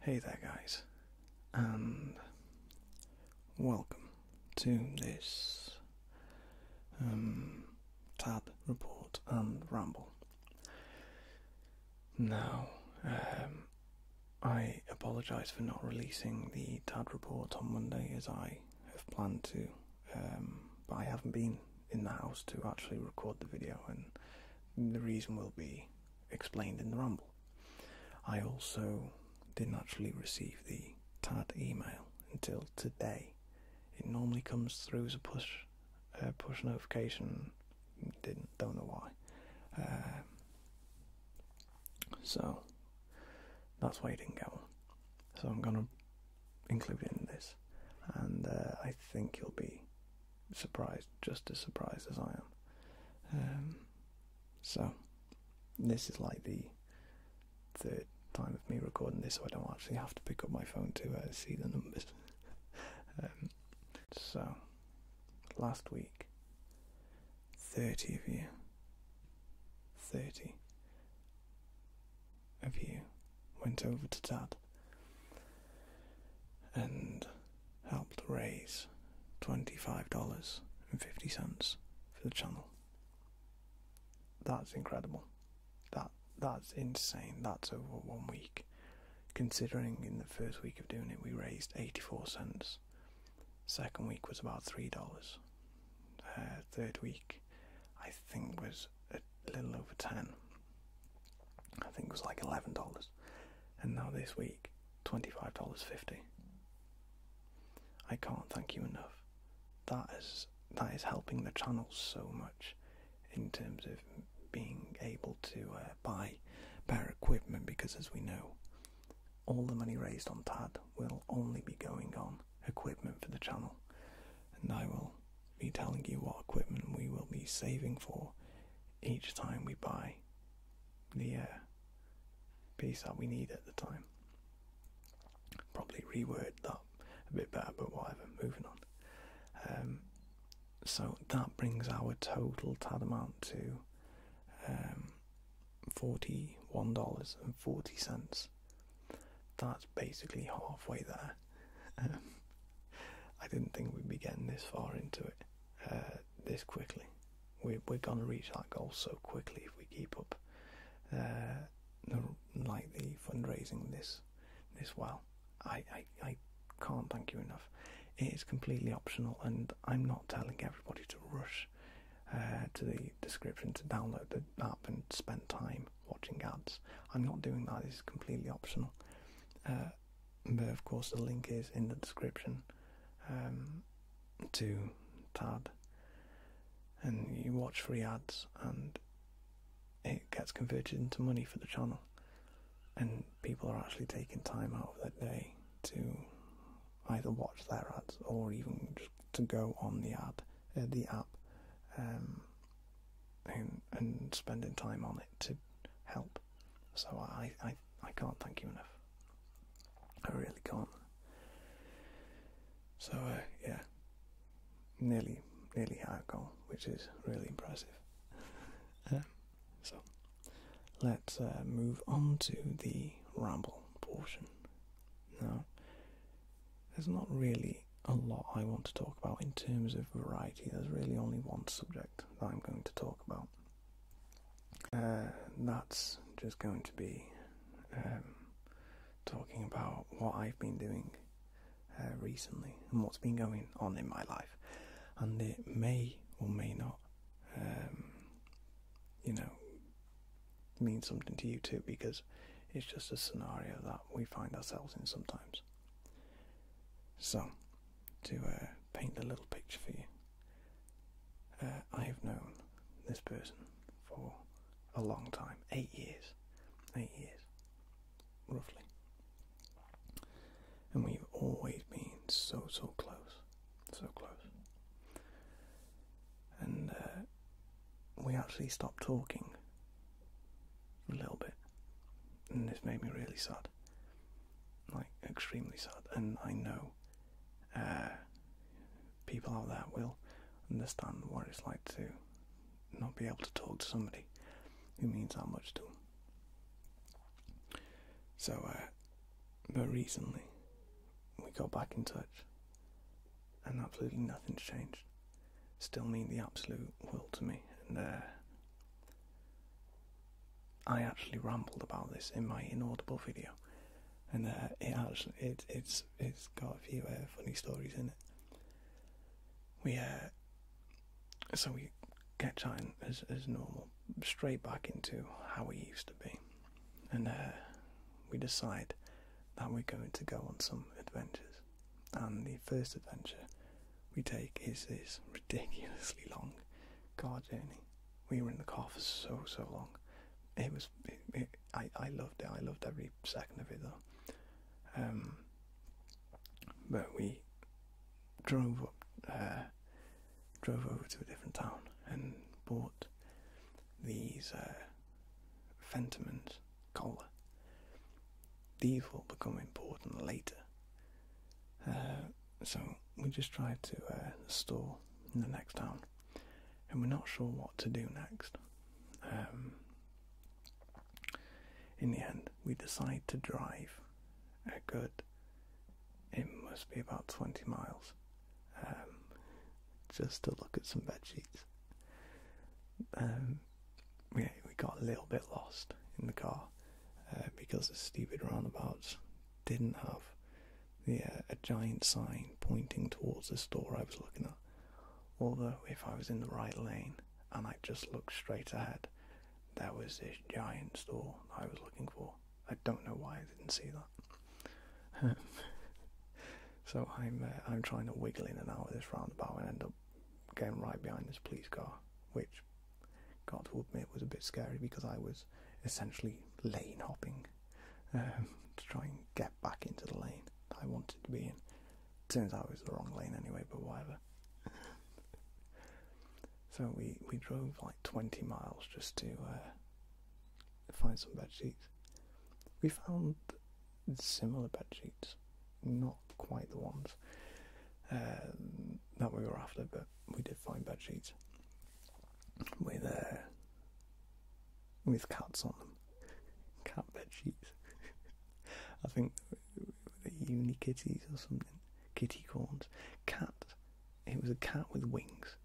Hey there, guys, and welcome to this um, TAD report and ramble. Now, um, I apologise for not releasing the TAD report on Monday as I have planned to um, but I haven't been in the house to actually record the video, and the reason will be explained in the Rumble. I also didn't actually receive the TAD email until today. It normally comes through as a push push notification. Didn't don't know why. Um, so that's why I didn't get one. So I'm gonna included in this, and uh, I think you'll be surprised, just as surprised as I am. Um, so, this is like the third time of me recording this, so I don't actually have to pick up my phone to uh, see the numbers. Um, so, last week, 30 of you. 30 of you went over to Dad and helped raise $25.50 for the channel. That's incredible. That that's insane. That's over one week. Considering in the first week of doing it we raised 84 cents. Second week was about $3. Uh, third week I think was a little over 10. I think it was like $11. And now this week, $25.50. I can't thank you enough. That is that is helping the channel so much in terms of being able to uh, buy better equipment because as we know all the money raised on TAD will only be going on equipment for the channel, and I will be telling you what equipment we will be saving for each time we buy the uh, piece that we need at the time. Probably reword that a bit better, but whatever, moving on. Um, so that brings our total TAD amount to um, $41.40. That's basically halfway there. Um, I didn't think we'd be getting this far into it uh, this quickly. We're, we're going to reach that goal so quickly if we keep up uh, like the fundraising this this well. I, I, can't thank you enough. It is completely optional, and I'm not telling everybody to rush uh, to the description to download the app and spend time watching ads. I'm not doing that, this is completely optional. Uh, but of course, the link is in the description um, to Tad, and you watch free ads, and it gets converted into money for the channel. And people are actually taking time out of their day to either watch their ads or even just to go on the ad, uh, the app, um, and, spending time on it to help. So I, I, I can't thank you enough. I really can't. So uh, yeah, nearly nearly had a goal, which is really impressive. so let's uh, move on to the ramble portion. Now, there's not really a lot I want to talk about in terms of variety. There's really only one subject that I'm going to talk about. Uh, that's just going to be um, talking about what I've been doing uh, recently and what's been going on in my life. And it may or may not, um, you know, mean something to you too because it's just a scenario that we find ourselves in sometimes. So, to uh, paint a little picture for you, uh, I have known this person for a long time eight years, eight years, roughly. And we've always been so, so close, so close. And uh, we actually stopped talking a little bit. And this made me really sad. Like, extremely sad. And I know uh, people out there will understand what it's like to not be able to talk to somebody who means that much to them. So, uh, but recently we got back in touch and absolutely nothing's changed. Still mean the absolute world to me, and uh, I actually rambled about this in my inaudible video, and uh, it actually it, it's it's got a few uh, funny stories in it. We uh, so we get chatting as as normal, straight back into how we used to be, and we decide that we're going to go on some adventures. And the first adventure we take is this ridiculously long car journey. We were in the car for so so long. It was I I loved it. I loved every second of it though. Um, but we drove up, uh, drove over to a different town and bought these uh, collar. These will become important later. Uh, so we just try to uh, store in the next town, and we're not sure what to do next. Um, in the end, we decide to drive a good, it must be about 20 miles, um, just to look at some bed sheets. Um, we, got a little bit lost in the car uh, because the stupid roundabouts didn't have uh, a giant sign pointing towards the store I was looking at. Although, if I was in the right lane and I just looked straight ahead, there was this giant store I was looking for. I don't know why I didn't see that. So I'm uh, I'm trying to wiggle in and out of this roundabout and end up getting right behind this police car, which, got to admit, was a bit scary because I was essentially lane hopping um, to try and get back into the lane that I wanted to be in. Turns out it was the wrong lane anyway, but whatever. so we we drove like 20 miles just to uh, find some bed We found similar bed sheets, not quite the ones um, that we were after, but we did find bed sheets with uh, with cats on them, cat bed sheets. I think the unikitties or something, kitty corns, cat. It was a cat with wings,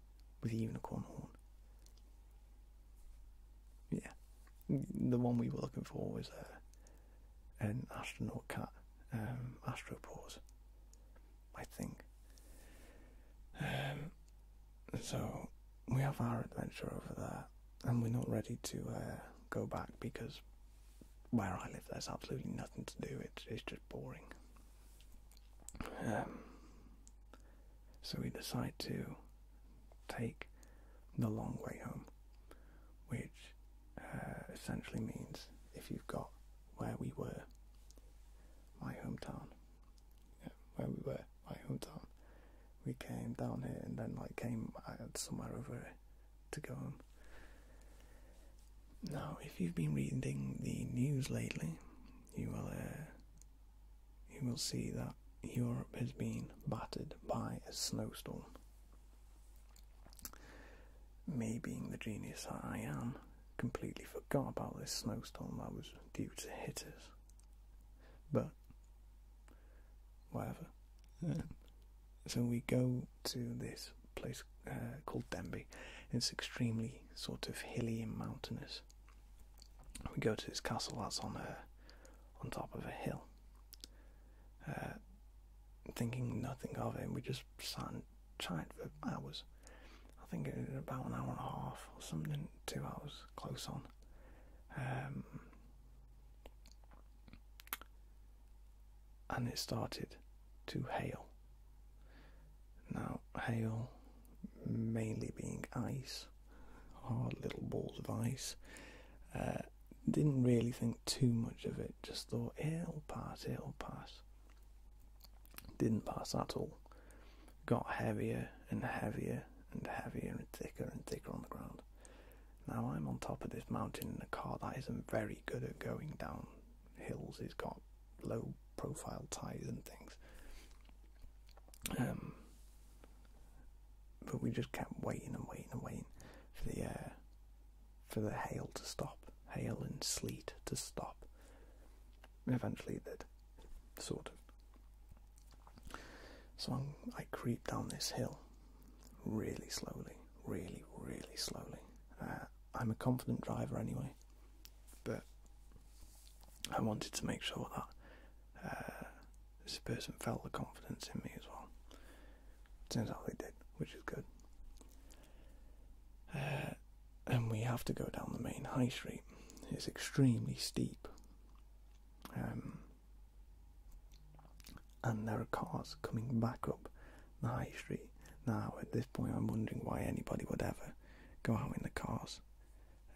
with a unicorn horn. Yeah, the one we were looking for was an astronaut cat, um, Astropause, I think. Um, so we have our adventure over there, and we're not ready to uh, go back because where I live, there's absolutely nothing to do. It's it's just boring. Um, so we decide to take the long way home, which uh, essentially means if you've got where we were, my hometown, where we were, my hometown, we came down here and then like came somewhere over to go home. Now, if you've been reading the news lately, you will uh, you will see that Europe has been battered by a snowstorm. Me being the genius that I am, completely forgot about this snowstorm that was due to hit us. But, whatever. so we go to this place uh, called Denby. It's extremely sort of hilly and mountainous. We go to this castle that's on a, uh, on top of a hill. Uh, thinking nothing of it, we just sat and chatted for hours. I think it was about an hour and a half or something, two hours close on. Um, and it started to hail. Now, hail mainly being ice hard little balls of ice. Uh, didn't really think too much of it, just thought eh, it'll pass, it'll pass. Didn't pass at all. Got heavier and heavier and heavier and thicker and thicker on the ground. Now I'm on top of this mountain in a car that isn't very good at going down hills, it's got low profile tires and things. Um, but we just kept waiting and waiting and waiting for the uh, for the hail to stop, hail and sleet to stop. Eventually, that did, sort of. So i creep down this hill really slowly, really, really slowly. Uh, I'm a confident driver anyway, but I wanted to make sure that uh, this person felt the confidence in me as well. Turns out they did, which is good. Uh, and we have to go down the main high street. It's extremely steep. Um, and there are cars coming back up the high street. Now, at this point, I'm wondering why anybody would ever go out in the cars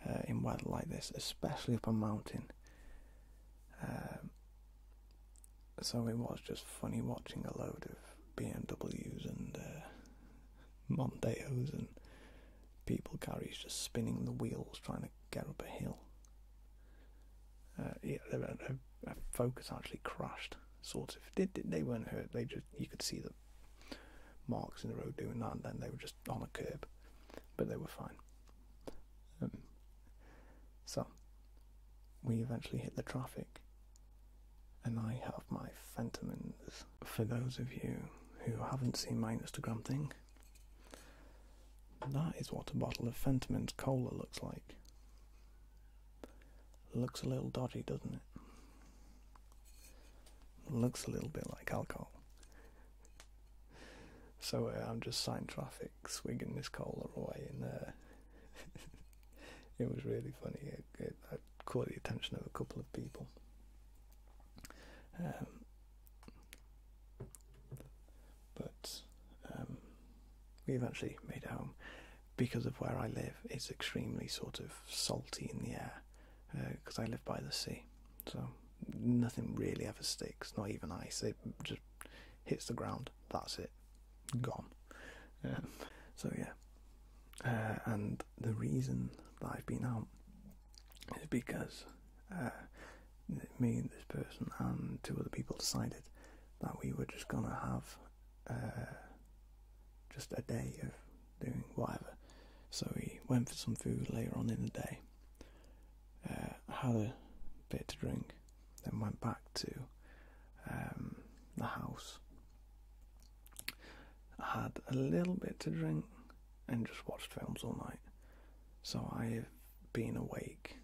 uh, in weather like this, especially up a mountain. Um, so it was just funny watching a load of BMWs and uh, Monteos and people carriers just spinning the wheels trying to get up a hill. Uh, yeah, a, uh, Focus actually crashed, sort of. They, they weren't hurt. They just you could see them marks in the road doing that, and then they were just on a curb, but they were fine. Um, so we eventually hit the traffic, and I have my phantomins. For those of you who haven't seen my Instagram thing, that is what a bottle of Fentimans cola looks like. Looks a little dodgy, doesn't it? Looks a little bit like alcohol. So uh, I'm just sign traffic, swigging this cola away in there. it was really funny. It, caught the attention of a couple of people. Um, but um, we've actually made it home because of where I live. It's extremely sort of salty in the air because uh, I live by the sea, so nothing really ever sticks, not even ice. It just hits the ground. That's it, gone. so yeah, uh, and the reason that I've been out is because uh, me and this person and two other people decided that we were just gonna have just a day of doing whatever. So we went for some food later on in the day. Uh, had a bit to drink, then went back to um, the house. had a little bit to drink and just watched films all night. So I have been awake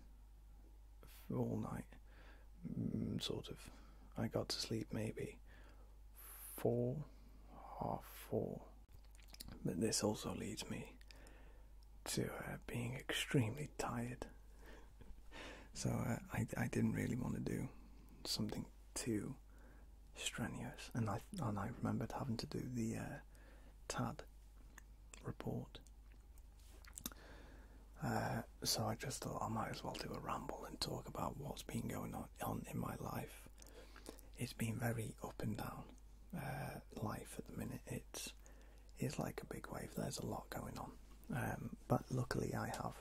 all night, mm, sort of. I got to sleep maybe four, half four. But this also leads me to uh, being extremely tired. so uh, I, I didn't really want to do something too strenuous, and I and I remembered having to do the uh, TAD report. Uh, so I just thought I might as well do a ramble and talk about what's been going on, on in my life it's been very up and down uh, life at the minute. It's it's like a big wave. There's a lot going on, um, but luckily I have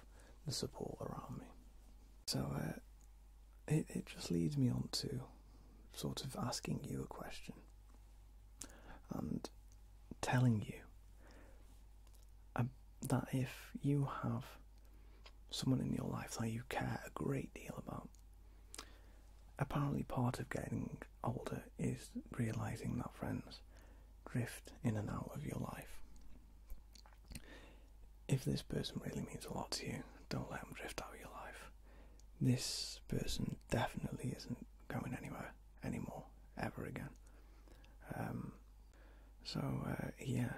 the support around me. So uh, it it just leads me on to sort of asking you a question and telling you um, that if you have someone in your life that you care a great deal about. Apparently, part of getting older is realizing that friends drift in and out of your life. If this person really means a lot to you, don't let them drift out of your life. This person definitely isn't going anywhere anymore, ever again. Um, so, uh, yeah.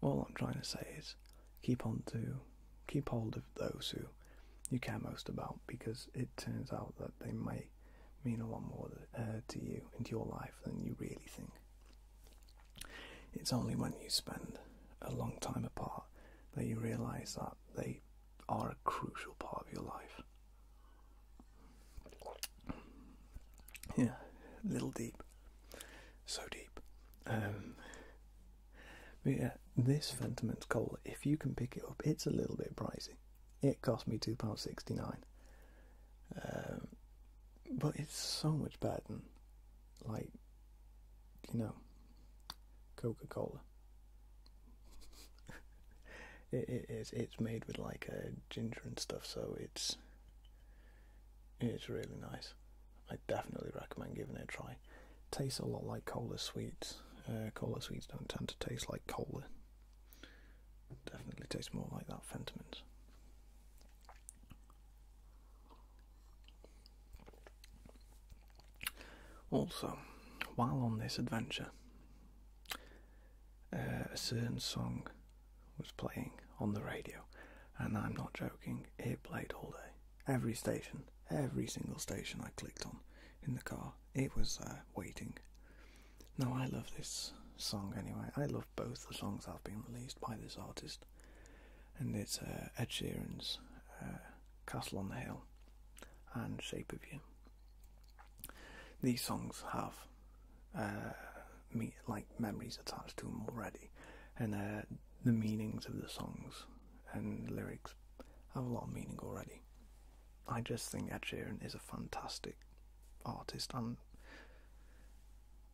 All I'm trying to say is keep on to keep hold of those who you care most about because it turns out that they may mean a lot more uh, to you and your life than you really think. It's only when you spend a long time apart that you realize that they are a crucial part of your life. Yeah, a little deep. So deep. Um, but yeah, this Fentimans cola, if you can pick it up, it's a little bit pricey. It cost me £2.69. Um, but it's so much better than, like, you know, Coca Cola. it's, it's made with, like, uh, ginger and stuff, so it's it's really nice. I definitely recommend giving it a try. Tastes a lot like cola sweets. Uh, cola sweets don't tend to taste like cola. Definitely tastes more like that Fentimans. Also, while on this adventure, uh, a certain song was playing on the radio, and I'm not joking, it played all day. Every station, every single station I clicked on in the car, it was uh, waiting. Now, I love this song anyway. I love both the songs i have been released by this artist, and it's uh, Ed Sheeran's Castle on the Hill and Shape of You. These songs have uh, like memories attached to them already, and uh, the meanings of the songs and lyrics have a lot of meaning already. I just think Ed Sheeran is a fantastic artist, and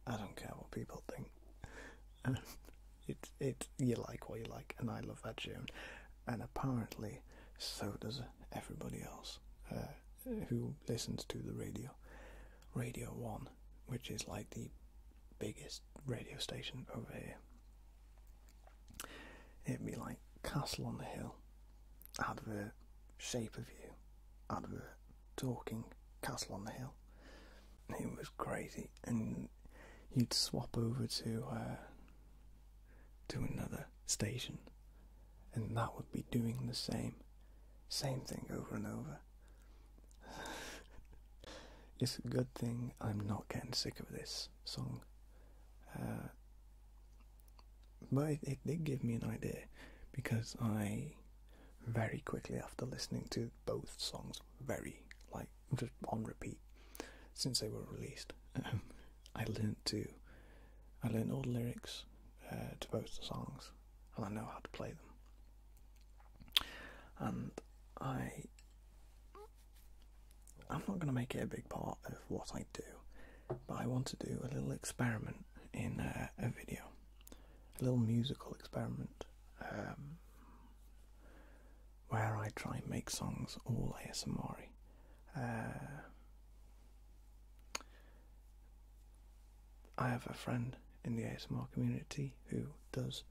I don't care what people think. it it you like what you like, and I love Ed Sheeran, and apparently so does everybody else. Uh, who listens to the radio, Radio One, which is like the biggest radio station over here. It'd be like Castle on the Hill, advert, Shape of You, advert, talking, Castle on the Hill. It was crazy, and you'd swap over to uh, to another station, and that would be doing the same, same thing over and over. it's a good thing I'm not getting sick of this song. Uh, but it, did give me an idea because I very quickly after listening to both songs, very like just on repeat since they were released, I learned to I learned all the lyrics uh, to both the songs, and I know how to play them. And I, I'm not going to make it a big part of what I do, but I want to do a little experiment in uh, a video, a little musical experiment. Um, where I try and make songs all ASMR. I have a friend in the ASMR community who does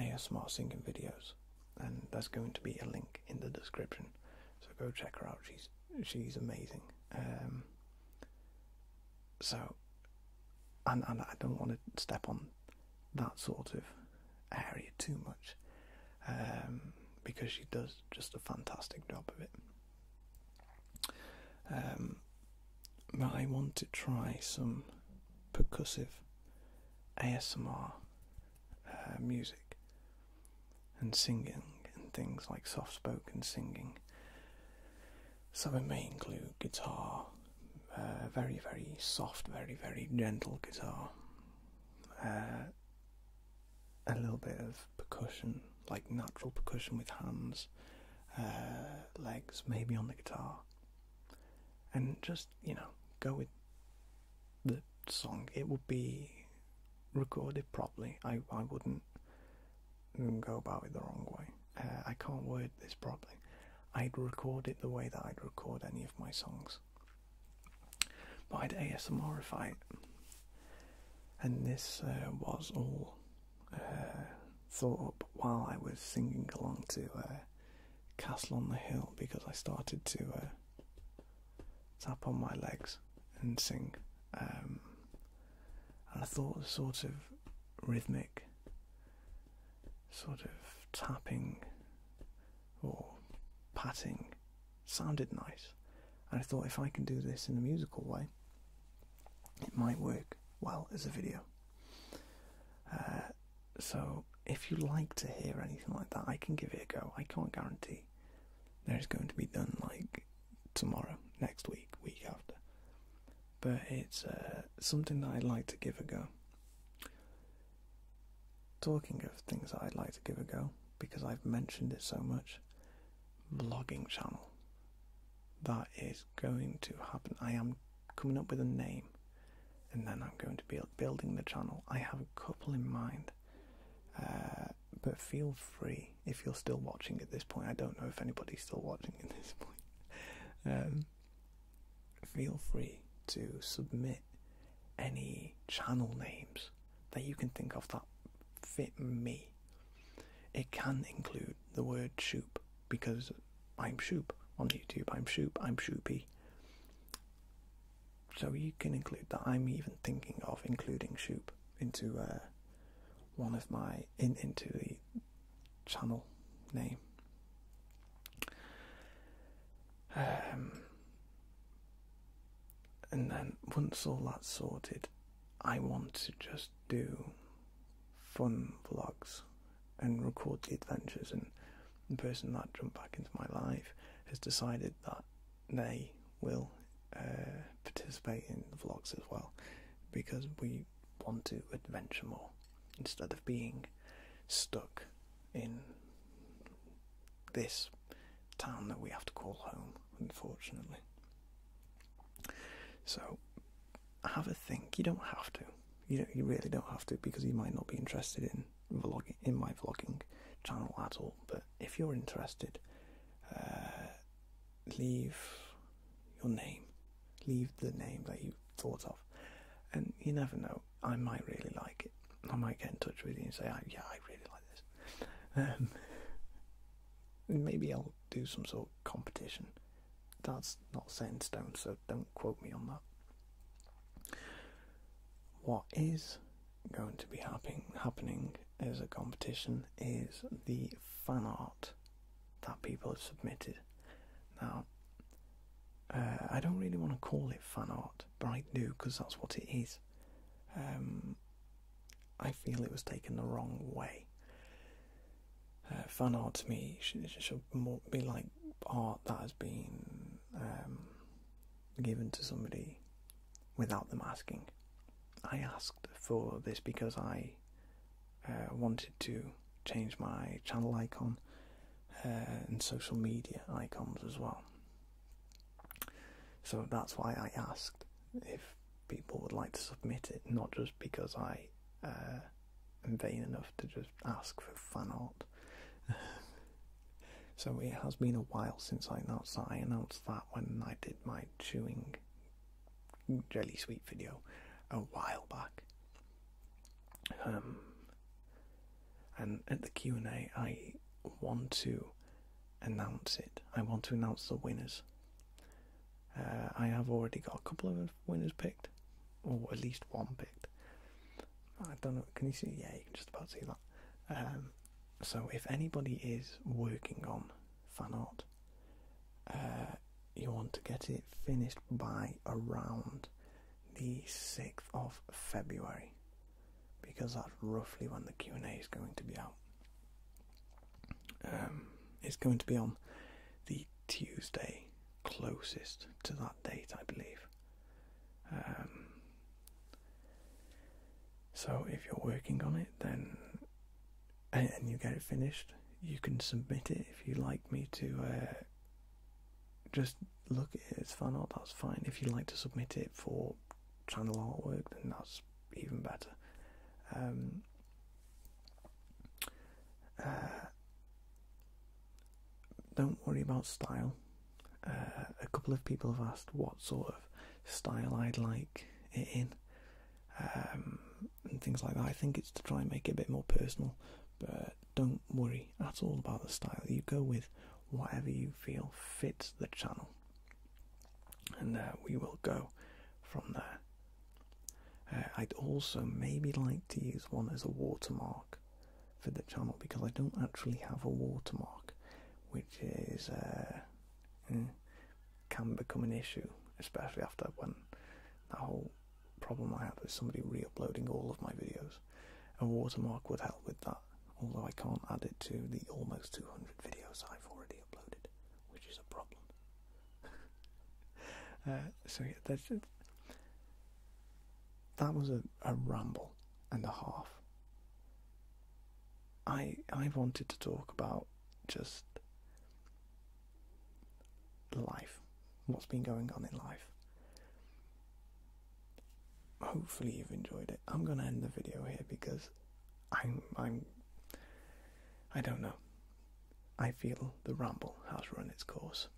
ASMR singing videos, and there's going to be a link in the description. So go check her out. She's she's amazing. Um, so, and and I don't want to step on that sort of area too much, um, because she does just a fantastic job of it. Um, but I want to try some percussive ASMR uh, music and singing and things like soft spoken singing. So it may include guitar, uh, very, very soft, very, very gentle guitar, uh, a little bit of percussion, like natural percussion with hands, uh, legs, maybe on the guitar, and just you know go with the song. It would be recorded properly. I I wouldn't go about it the wrong way. Uh, I can't word this properly. I'd record it the way that I'd record any of my songs. But I'd ASMRify it. And this uh, was all uh, thought up while I was singing along to uh, Castle on the Hill because I started to tap on my legs and sing. Um, and I thought the sort of rhythmic, sort of tapping or patting sounded nice. And I thought if I can do this in a musical way, it might work well as a video. Uh, so if you like to hear anything like that, I can give it a go. I can't guarantee there's going to be done like tomorrow, next week, week after. But it's uh, something that I'd like to give a go. Talking of things that I'd like to give a go, because I've mentioned it so much, vlogging channel. That is going to happen. I am coming up with a name and then I'm going to be building the channel. I have a couple in mind. Uh, but feel free if you're still watching at this point. I don't know if anybody's still watching at this point. Um, feel free to submit any channel names that you can think of that fit me. It can include the word shoop because I'm shoop on YouTube, I'm shoop, I'm shoopy. So you can include that. I'm even thinking of including shoop into uh, one of my into the channel name. Um, and then once all that's sorted, I want to just do fun vlogs and record the adventures. And the person that jumped back into my life has decided that they will uh, participate in the vlogs as well because we want to adventure more instead of being stuck in this town that we have to call home, unfortunately. So have a think. You don't have to. You do you really don't have to because you might not be interested in vlogging in my vlogging channel at all. But if you're interested, uh, leave your name, leave the name that you thought of, and you never know. I might really like it. I might get in touch with you and say, "Yeah, I really like this this. Um, maybe I'll do some sort of competition. That's not set in stone, so don't quote me on that. What is going to be happening as a competition is the fan art that people have submitted. Now, uh, I don't really want to call it fan art, but I do because that's what it is. Um, I feel it was taken the wrong way. Uh, fun art to me should, be like art that has been um, given to somebody without them asking. I asked for this because I uh, wanted to change my channel icon uh, and social media icons as well. So that's why I asked if people would like to submit it, not just because I uh, am vain enough to just ask for fan art. so it has been a while since I announced that. I announced that when I did my chewing jelly sweet video a while back. Um, and at the Q&A I want to announce it. I want to announce the winners. Uh, I have already got a couple of winners picked, or at least one picked. I don't know. Can you see? Yeah, you can just about see that. Um, so if anybody is working on fan art, uh, you want to get it finished by around the 6th of February because that's roughly when the Q&A is going to be out. Um, it's going to be on the Tuesday closest to that date, I believe. Um, so if you're working on it, then and, you get it finished, you can submit it if you like me to. Uh, just look at it It's fine. That's fine. If you like to submit it for channel artwork, then that's even better. Um, uh, don't worry about style. Uh, a couple of people have asked what sort of style I'd like it in, um, and things like that. I think it's to try and make it a bit more personal, but don't worry at all about the style. You go with whatever you feel fits the channel and uh, we will go from there. Uh, I'd also maybe like to use one as a watermark for the channel because I don't actually have a watermark, which is uh, mm, can become an issue, especially after when that whole problem I had with somebody re-uploading all of my videos. A watermark would help with that, although I can't add it to the almost 200 videos I've already uploaded, which is a problem. Uh, so, yeah, that's That was a, a ramble and a half. I I wanted to talk about just life, what's been going on in life hopefully you've enjoyed it. I'm gonna end the video here because I'm I'm I don't know. I feel the ramble has run its course.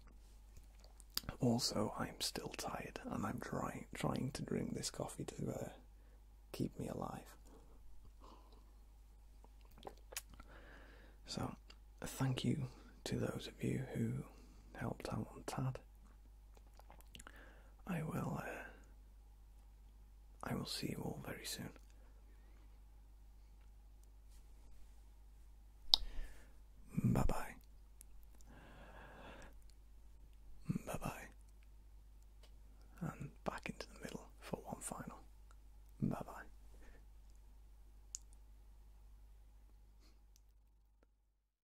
Also, I'm still tired and I'm trying trying to drink this coffee to uh, keep me alive. So, thank you to those of you who helped out on Tad. I will. Uh, I will see you all very soon. Bye bye. Bye bye. And back into the middle for one final. Bye bye.